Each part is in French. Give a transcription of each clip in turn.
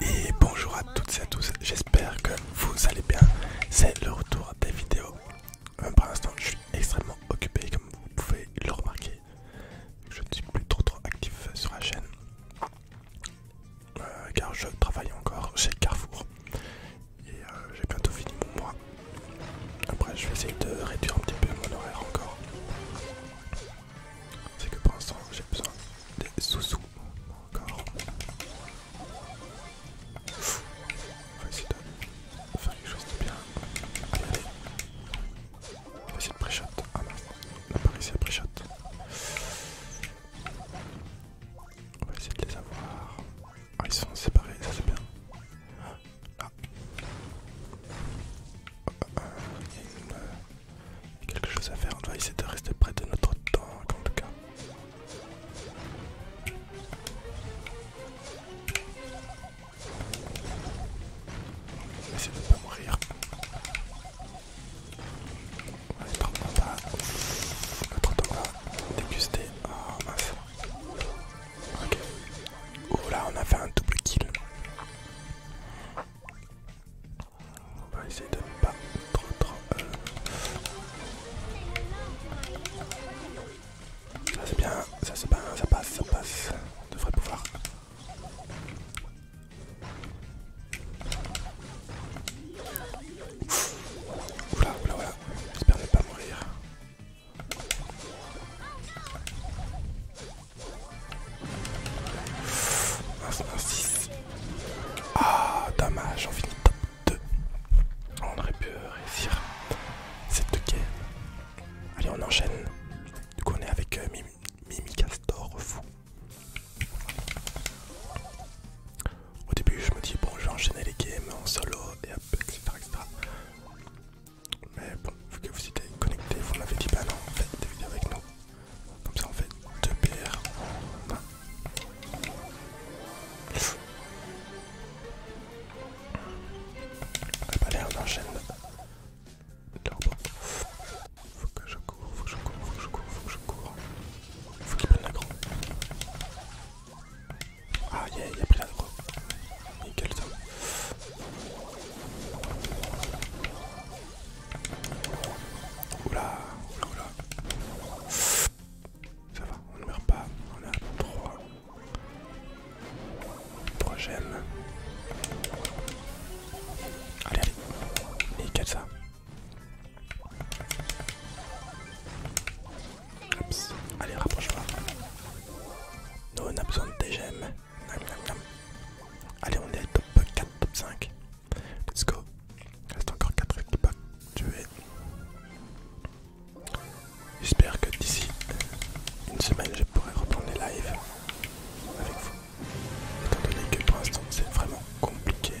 Et bonjour à toutes et à tous, j'espère que vous allez bien. C'est le retour des vidéos. Euh, pour l'instant, je suis extrêmement occupé, comme vous pouvez le remarquer. Je ne suis plus trop trop actif sur la chaîne euh, car je travaille encore chez Carrefour et euh, j'ai bientôt fini mon mois. Après, je vais essayer de réduire un petit peu mon horaire encore. C'est que pour l'instant j'ai besoin des sous-sous encore. on va essayer de faire quelque chose de bien. Allez, On va essayer de pré-shot. Ah non, on ici, pas pré-shot. On va essayer de les avoir. Ah, ils sont séparés, ça c'est bien. Ah. Oh, euh, il y a une euh, quelque chose à faire. On va essayer de rester près de notre temps, en tout cas. On va essayer de ne pas mourir. par on Notre tank va déguster. Oh Ok. Oh là, on a fait un double kill. On va essayer de ne pas trop trop... Euh. Ça c'est bien, ça c'est bien, ça passe, ça passe. On devrait pouvoir... Oula, oula, oula. J'espère ne pas mourir. Ah, dommage, on finit top 2. On aurait pu euh, réussir cette game. Allez, on enchaîne. Du coup, on est avec euh, Mimi, Fou. Au début, je me dis, bon, je vais les games en solo et hop, etc. etc. Mais bon, vu que vous étiez connecté, vous m'avez dit pas bah non, faites des vidéos avec nous. Comme ça on fait deux PR. en Ah a pas enchaîne. Il Faut que je cours, faut que je cours, faut que je cours, faut que je cours. Faut qu'il prenne l'agro. Ah yeah, il a pris l'agro. Nickel ça. Oula, oula, oula. Ça va, on ne meurt pas. On a 3. 3 gemmes. Allez, allez. Nickel ça. Allez, rapproche-toi. Nous, on a besoin de tes gemmes. Allez, on est à top 4, top 5. Let's go. Il Reste encore 4 avec le pack J'espère que d'ici une semaine, je pourrai reprendre les lives avec vous. Étant donné que pour l'instant, c'est vraiment compliqué.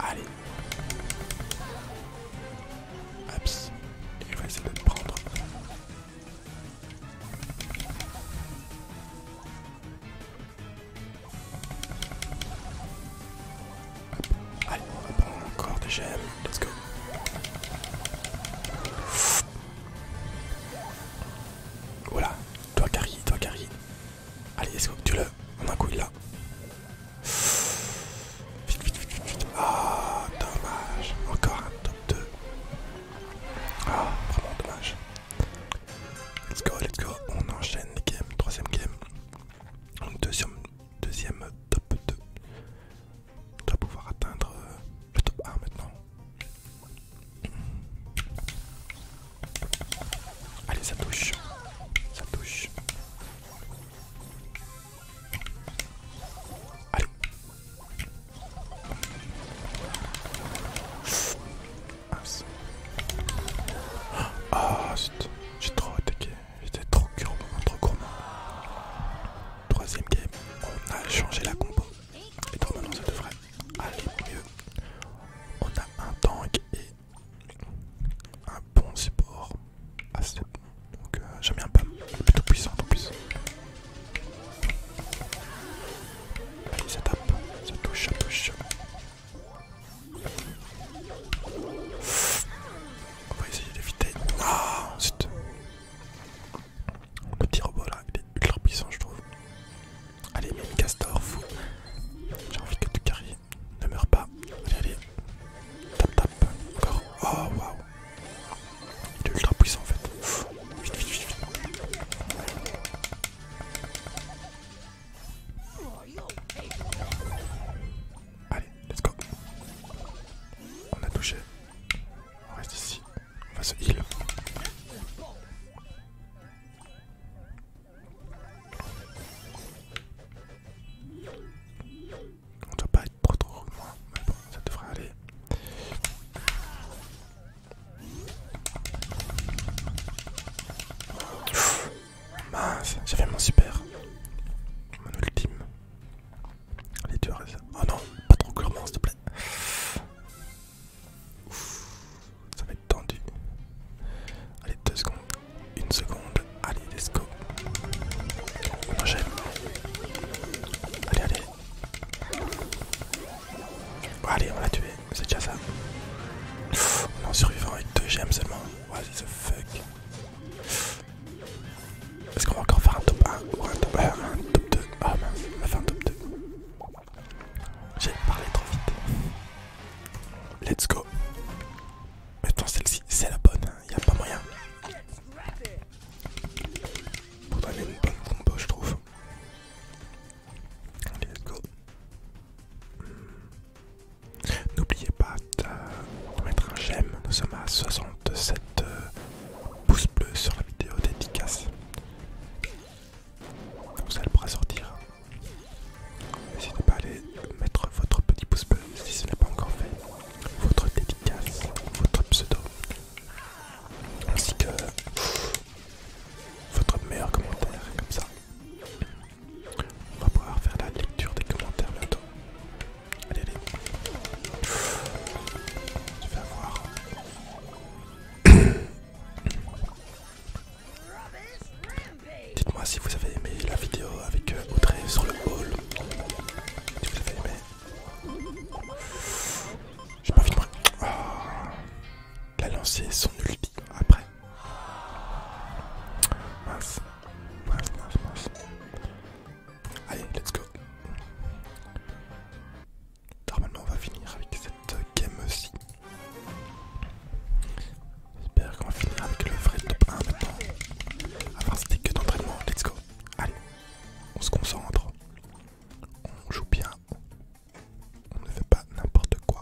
Allez. Aps. Il va essayer de te prendre. Allez, on va prendre encore des gemmes. Let's go. Voilà, toi Carrie, toi Carrie. Allez, let's go, tue-le. On a un coup, Vite, vite, vite, vite. Ah, oh, dommage. Encore un top 2. Ah, vraiment dommage. Let's go, let's go. On enchaîne les games. Troisième game. Donc, deuxième, deuxième top 2. On doit pouvoir atteindre euh, le top 1 maintenant. Allez, ça touche. Ça touche. Allez. Ah, putain, J'ai trop attaqué. J'étais trop gourmand, trop gourmand. Troisième game, on a changé la compo. Et donc maintenant ça devrait aller mieux. On a un tank et un bon support assez bon. Donc euh, j'aime bien pas plutôt puissant en plus. Allez ça tape, ça touche, ça touche. On va essayer d'éviter. Ah, ensuite. Le petit robot là, il est ultra puissant, je trouve. Allez, mine castor, fou. J'ai envie que tu carries. Ne meurs pas. Allez, allez. Tap, tap. Encore. Oh, waouh. Il est ultra puissant en fait. vite, vite, vite, vite. Allez, let's go. On a touché. On reste ici. On va se heal. On doit pas être trop trop moi, mais bon, ça devrait aller. Mince, mince, j'avais mon super. Mon ultime. Allez, tu arrêtes ça. Oh non, pas trop gourmand s'il te plaît. ça va être tendu. Allez, deux secondes. Une seconde. Allez, let's go. On enchaîne. Allez, allez. allez, on l'a tué. C'est déjà ça. on en survivant avec deux gemmes seulement. What the fuck. Est-ce qu'on va encore faire un top 1 ou un top, 2 Ah oh, mince, on va faire un top 2. J'ai parlé trop vite. Let's go. Maintenant celle-ci, c'est la bonne, il hein. a pas moyen. Pour donner une bonne combo, je trouve. Allez, let's go. N'oubliez pas de mettre un j'aime, nous sommes à 60 de cette euh, pouce bleu sur la vidéo dédicace. ça elle pourra sortir. N'hésitez pas à aller mettre votre petit pouce bleu si ce n'est pas encore fait. Votre dédicace, votre pseudo. Ainsi que votre meilleur commentaire, comme ça. On va pouvoir faire la lecture des commentaires bientôt. Allez, allez. Tu vas voir. Dites-moi si vous avez aimé la vidéo avec euh, Audrey sur le hall. Si vous avez aimé. J'ai pas de de ah. la a lancé son ulti après. Mince. Allez, let's go. Normalement, on va finir avec cette game-ci. J'espère qu'on va finir avec le vrai top 1 maintenant. Avant, c'était que d'entraînement. Let's go. Allez, on se concentre. On joue bien. On ne fait pas n'importe quoi.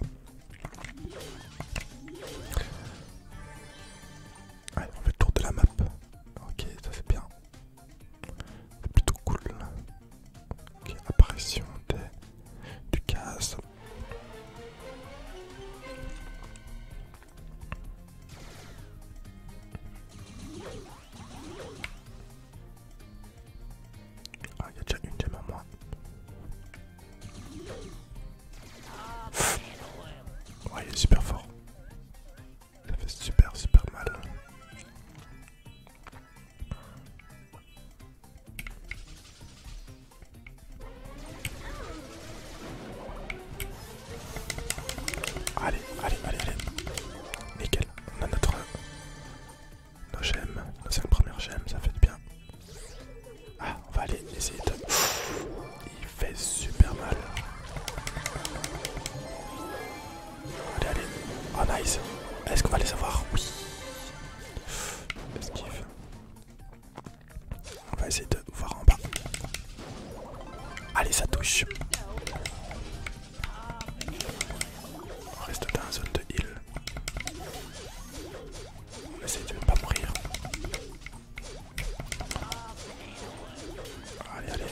Allez, on fait le tour de la map. Ok, ça fait bien. C'est plutôt cool. Ok, apparition du casse. Ah, il y a déjà une gemme en moi Ouais, il est super fort. Ça fait super, super mal. Allez, allez, allez, allez. Nickel, on a notre... Nos gemmes, nos 5 premières gemmes, ça fait du bien. Ah, on va aller essayer de... Il fait super mal. Allez, allez. Oh, nice. Est-ce qu'on va les avoir Oui. Esquive. On va essayer de voir en bas. Allez, ça touche. On reste dans la zone de heal. On Essaye de ne pas mourir. Allez, allez.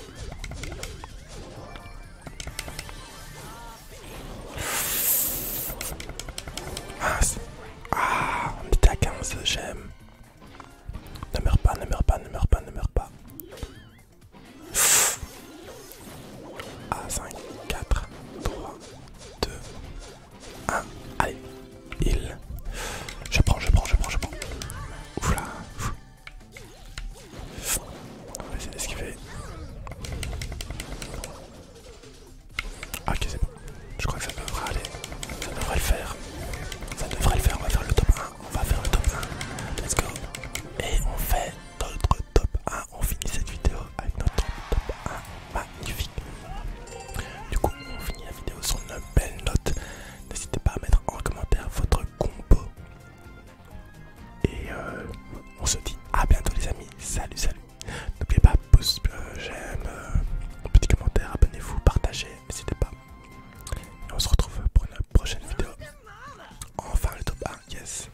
Ah, ah on était à 15, j'aime. Ne meurs pas, ne meurs pas, ne meurs pas, ne meurs pas. Ah, 5, 4, 3, 2, 1, ah, allez, il. Je prends, je prends, je prends, je prends. Ouf là. Ouf. On va essayer d'esquiver. Ah, ok, c'est bon. Je crois que ça devrait aller. Ça devrait le faire. Ça devrait le faire. On va faire le top 1. On va faire le top 1. Let's go. Et on fait notre top 1. On finit cette vidéo avec notre top 1 magnifique. Du coup, on finit la vidéo sur une belle note. N'hésitez pas à mettre en commentaire votre combo. Et euh, on se dit à bientôt, les amis. Salut, salut. N'oubliez pas, pouce, euh, j'aime, euh, petit commentaire, abonnez-vous, partagez, n'hésitez pas. Et on se retrouve pour une prochaine vidéo. Enfin, le top 1, yes.